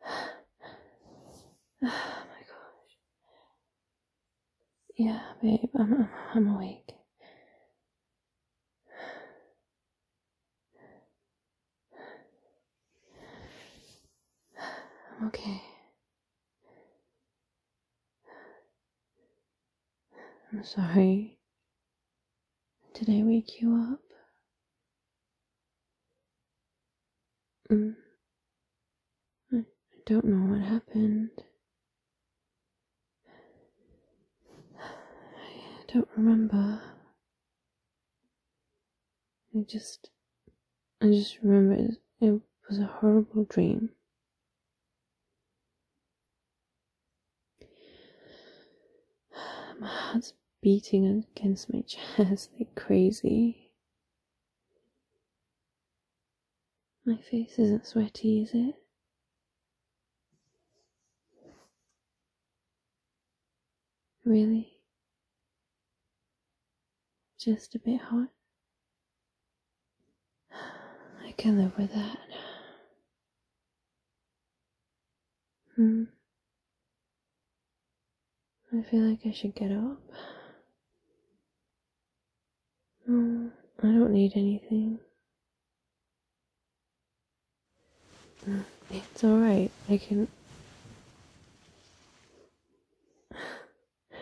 oh my gosh. Yeah, babe, I'm, I'm, I'm awake. I'm okay. I'm sorry. Did I wake you up? Mm. I don't know what happened. I don't remember. I just, I just remember it was a horrible dream. My heart's beating against my chest like crazy. My face isn't sweaty, is it? Really? Just a bit hot? I can live with that. Hmm. I feel like I should get up. No, mm, I don't need anything. Mm, it's alright, I can.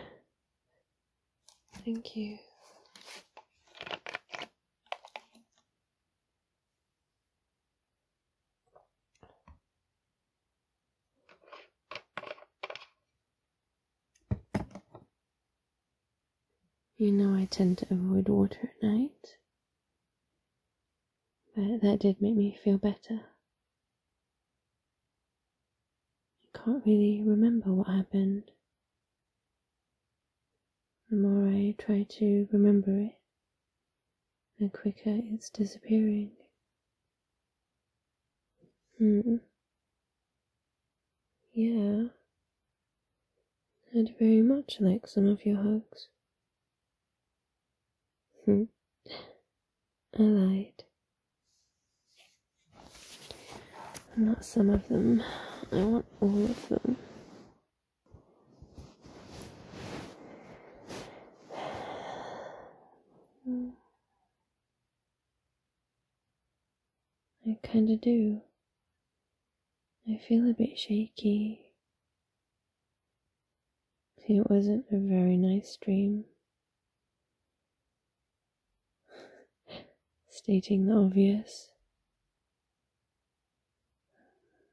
Thank you. You know, I tend to avoid water at night, but that did make me feel better. I can't really remember what happened. The more I try to remember it, the quicker it's disappearing. Hmm. Yeah. I'd very much like some of your hugs. Hmm. I like. Not some of them. I want all of them. I kinda do. I feel a bit shaky. It wasn't a very nice dream. Stating the obvious.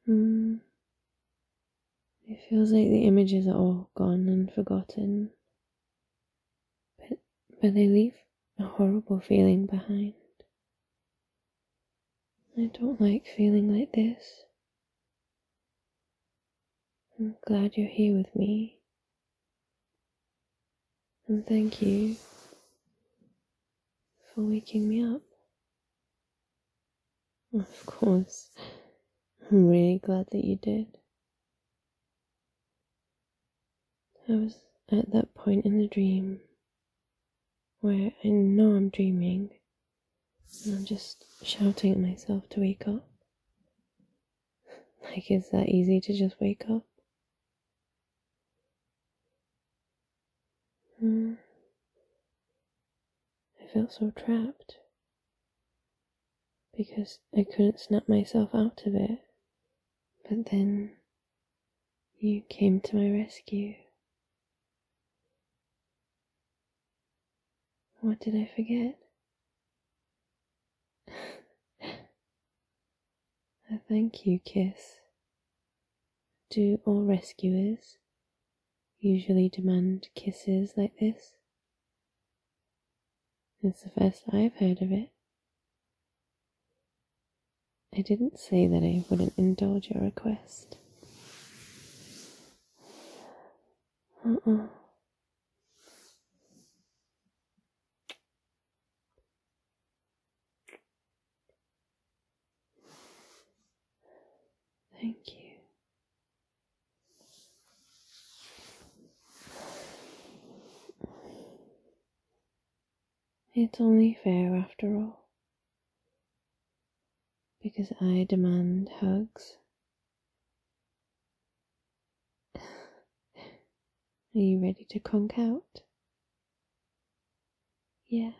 Hmm. It feels like the images are all gone and forgotten, but, but they leave a horrible feeling behind. I don't like feeling like this. I'm glad you're here with me. And thank you for waking me up. Of course, I'm really glad that you did. I was at that point in the dream where I know I'm dreaming and I'm just shouting at myself to wake up. Like, is that easy to just wake up? Hmm. I felt so trapped because I couldn't snap myself out of it. But then you came to my rescue. What did I forget? A thank you kiss. Do all rescuers usually demand kisses like this? It's the first I've heard of it. I didn't say that I wouldn't indulge your request. Uh-uh. Thank you. It's only fair after all, because I demand hugs. Are you ready to conk out? Yeah,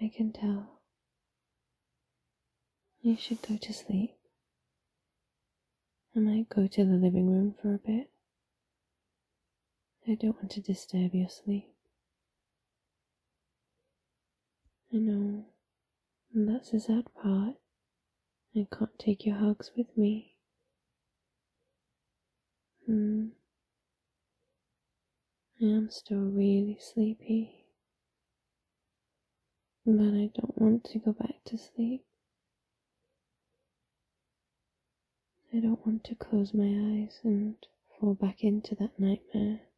I can tell. You should go to sleep. I might go to the living room for a bit. I don't want to disturb your sleep. I know, and that's the sad part. I can't take your hugs with me. Hmm, I am still really sleepy, but I don't want to go back to sleep. I don't want to close my eyes and fall back into that nightmare.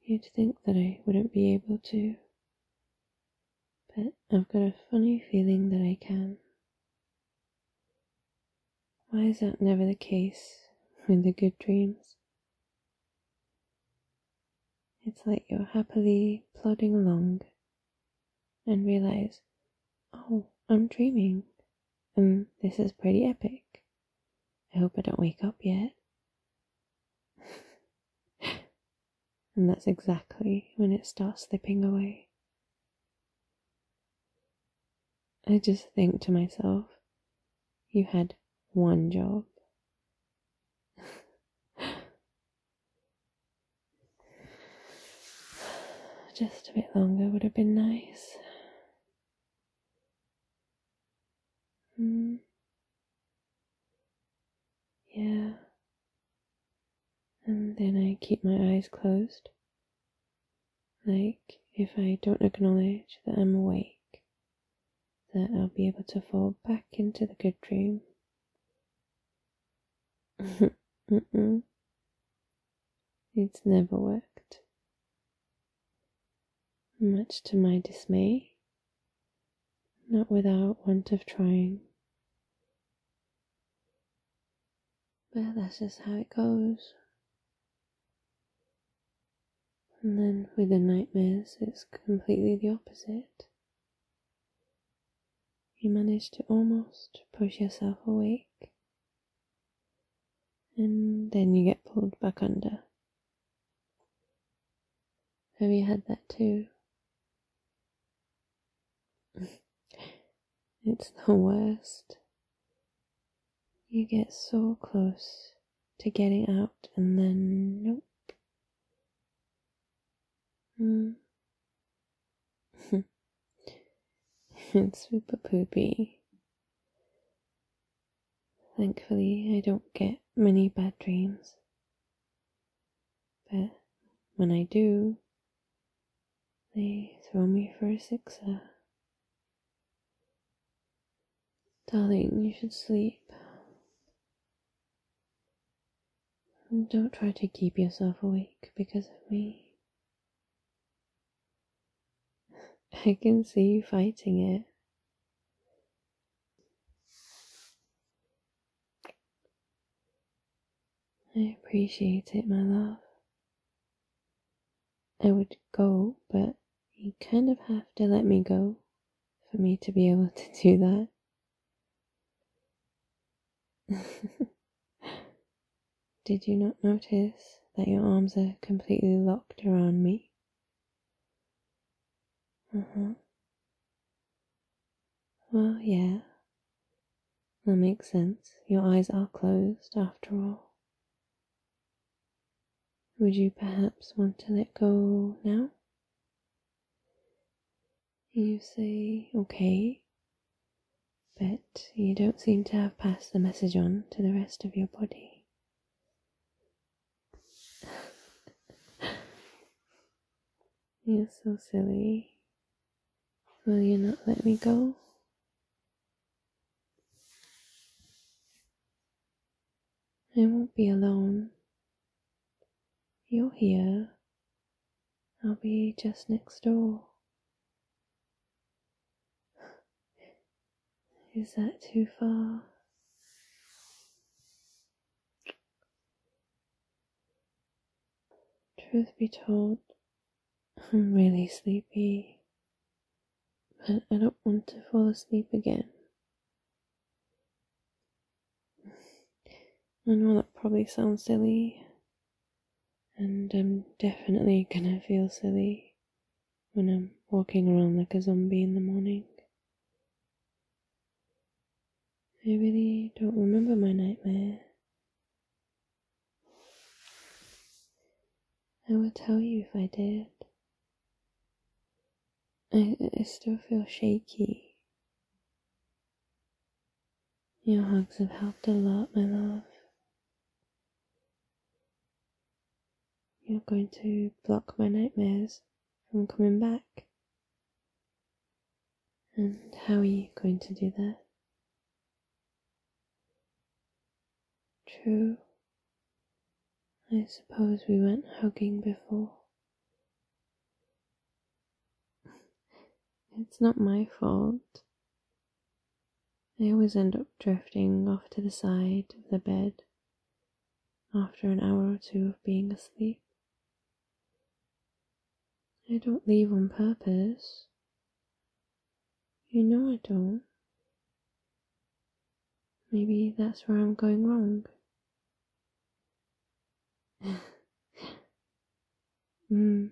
You'd think that I wouldn't be able to, but I've got a funny feeling that I can. Why is that never the case with the good dreams? It's like you're happily plodding along and realize, oh, I'm dreaming, and this is pretty epic. I hope I don't wake up yet. And that's exactly when it starts slipping away. I just think to myself, you had one job. just a bit longer would have been nice. Mm. Yeah. And then I keep my eyes closed, like if I don't acknowledge that I'm awake, that I'll be able to fall back into the good dream. It's never worked. Much to my dismay, not without want of trying, but that's just how it goes. And then with the nightmares, it's completely the opposite. You manage to almost push yourself awake, and then you get pulled back under. Have you had that too? it's the worst. You get so close to getting out and then nope. Hmm. it's super poopy. Thankfully, I don't get many bad dreams. But when I do, they throw me for a sixer. Darling, you should sleep. don't try to keep yourself awake because of me. I can see you fighting it. I appreciate it, my love. I would go, but you kind of have to let me go for me to be able to do that. Did you not notice that your arms are completely locked around me? Uh-huh. Oh, yeah. That makes sense. Your eyes are closed, after all. Would you perhaps want to let go now? You say, okay, but you don't seem to have passed the message on to the rest of your body. You're so silly. Will you not let me go? I won't be alone. You're here. I'll be just next door. Is that too far? Truth be told, I'm really sleepy, but I don't want to fall asleep again. I know that probably sounds silly, and I'm definitely gonna feel silly when I'm walking around like a zombie in the morning. I really don't remember my nightmare. I will tell you if I did. I, I still feel shaky. Your hugs have helped a lot, my love. You're going to block my nightmares from coming back. And how are you going to do that? True, I suppose we went hugging before. it's not my fault. I always end up drifting off to the side of the bed after an hour or two of being asleep. I don't leave on purpose. You know I don't. Maybe that's where I'm going wrong. mm.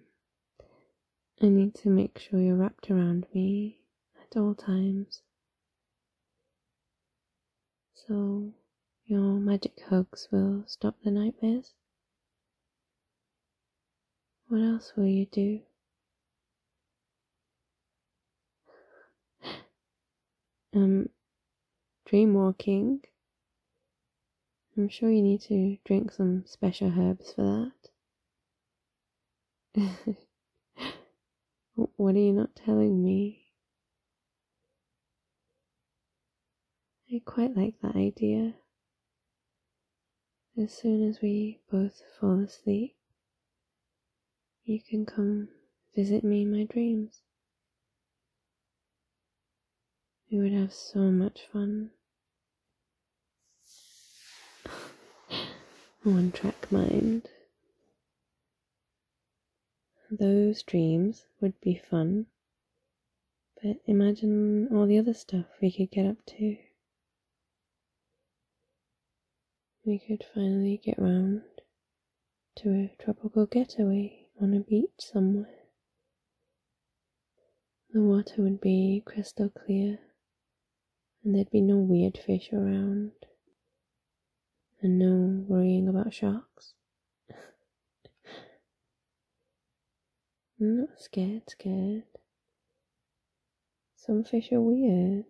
I need to make sure you're wrapped around me at all times. So, your magic hugs will stop the nightmares? What else will you do? um, dream walking. I'm sure you need to drink some special herbs for that. what are you not telling me? I quite like that idea. As soon as we both fall asleep, you can come visit me in my dreams. We would have so much fun. One track mind. Those dreams would be fun, but imagine all the other stuff we could get up to. We could finally get round to a tropical getaway on a beach somewhere. The water would be crystal clear and there'd be no weird fish around, and no worrying about sharks. I'm not scared, scared. Some fish are weird.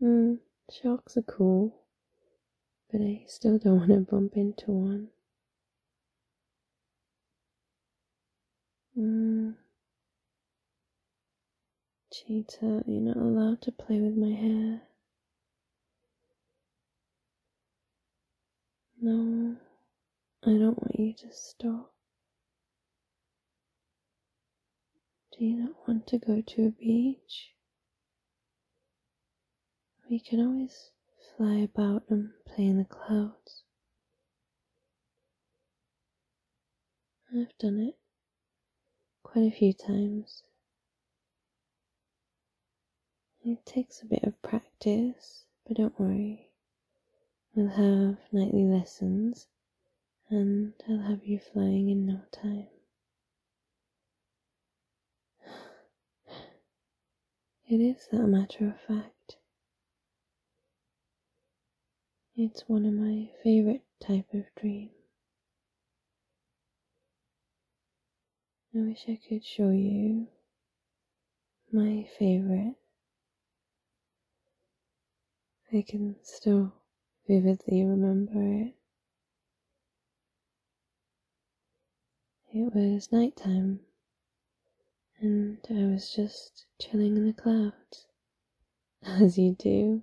Hmm, sharks are cool, but I still don't want to bump into one. Mm. Cheetah, you're not allowed to play with my hair. No, I don't want you to stop. Do you not want to go to a beach? We can always fly about and play in the clouds. I've done it quite a few times. It takes a bit of practice, but don't worry. We'll have nightly lessons and I'll have you flying in no time. It is a matter of fact. It's one of my favorite type of dream. I wish I could show you my favorite. I can still vividly remember it. It was nighttime and I was just chilling in the clouds, as you do.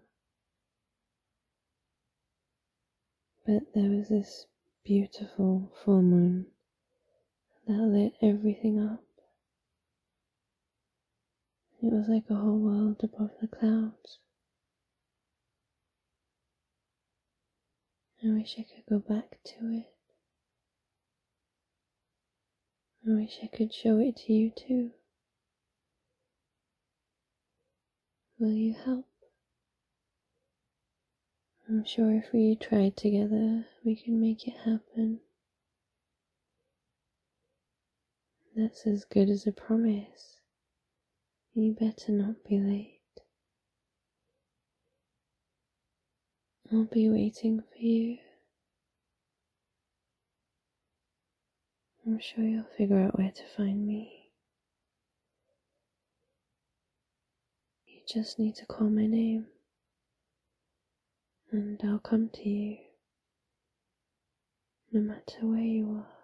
But there was this beautiful full moon that lit everything up. It was like a whole world above the clouds. I wish I could go back to it. I wish I could show it to you too. Will you help? I'm sure if we try together, we can make it happen. That's as good as a promise. You better not be late. I'll be waiting for you. I'm sure you'll figure out where to find me. You just need to call my name, and I'll come to you, no matter where you are.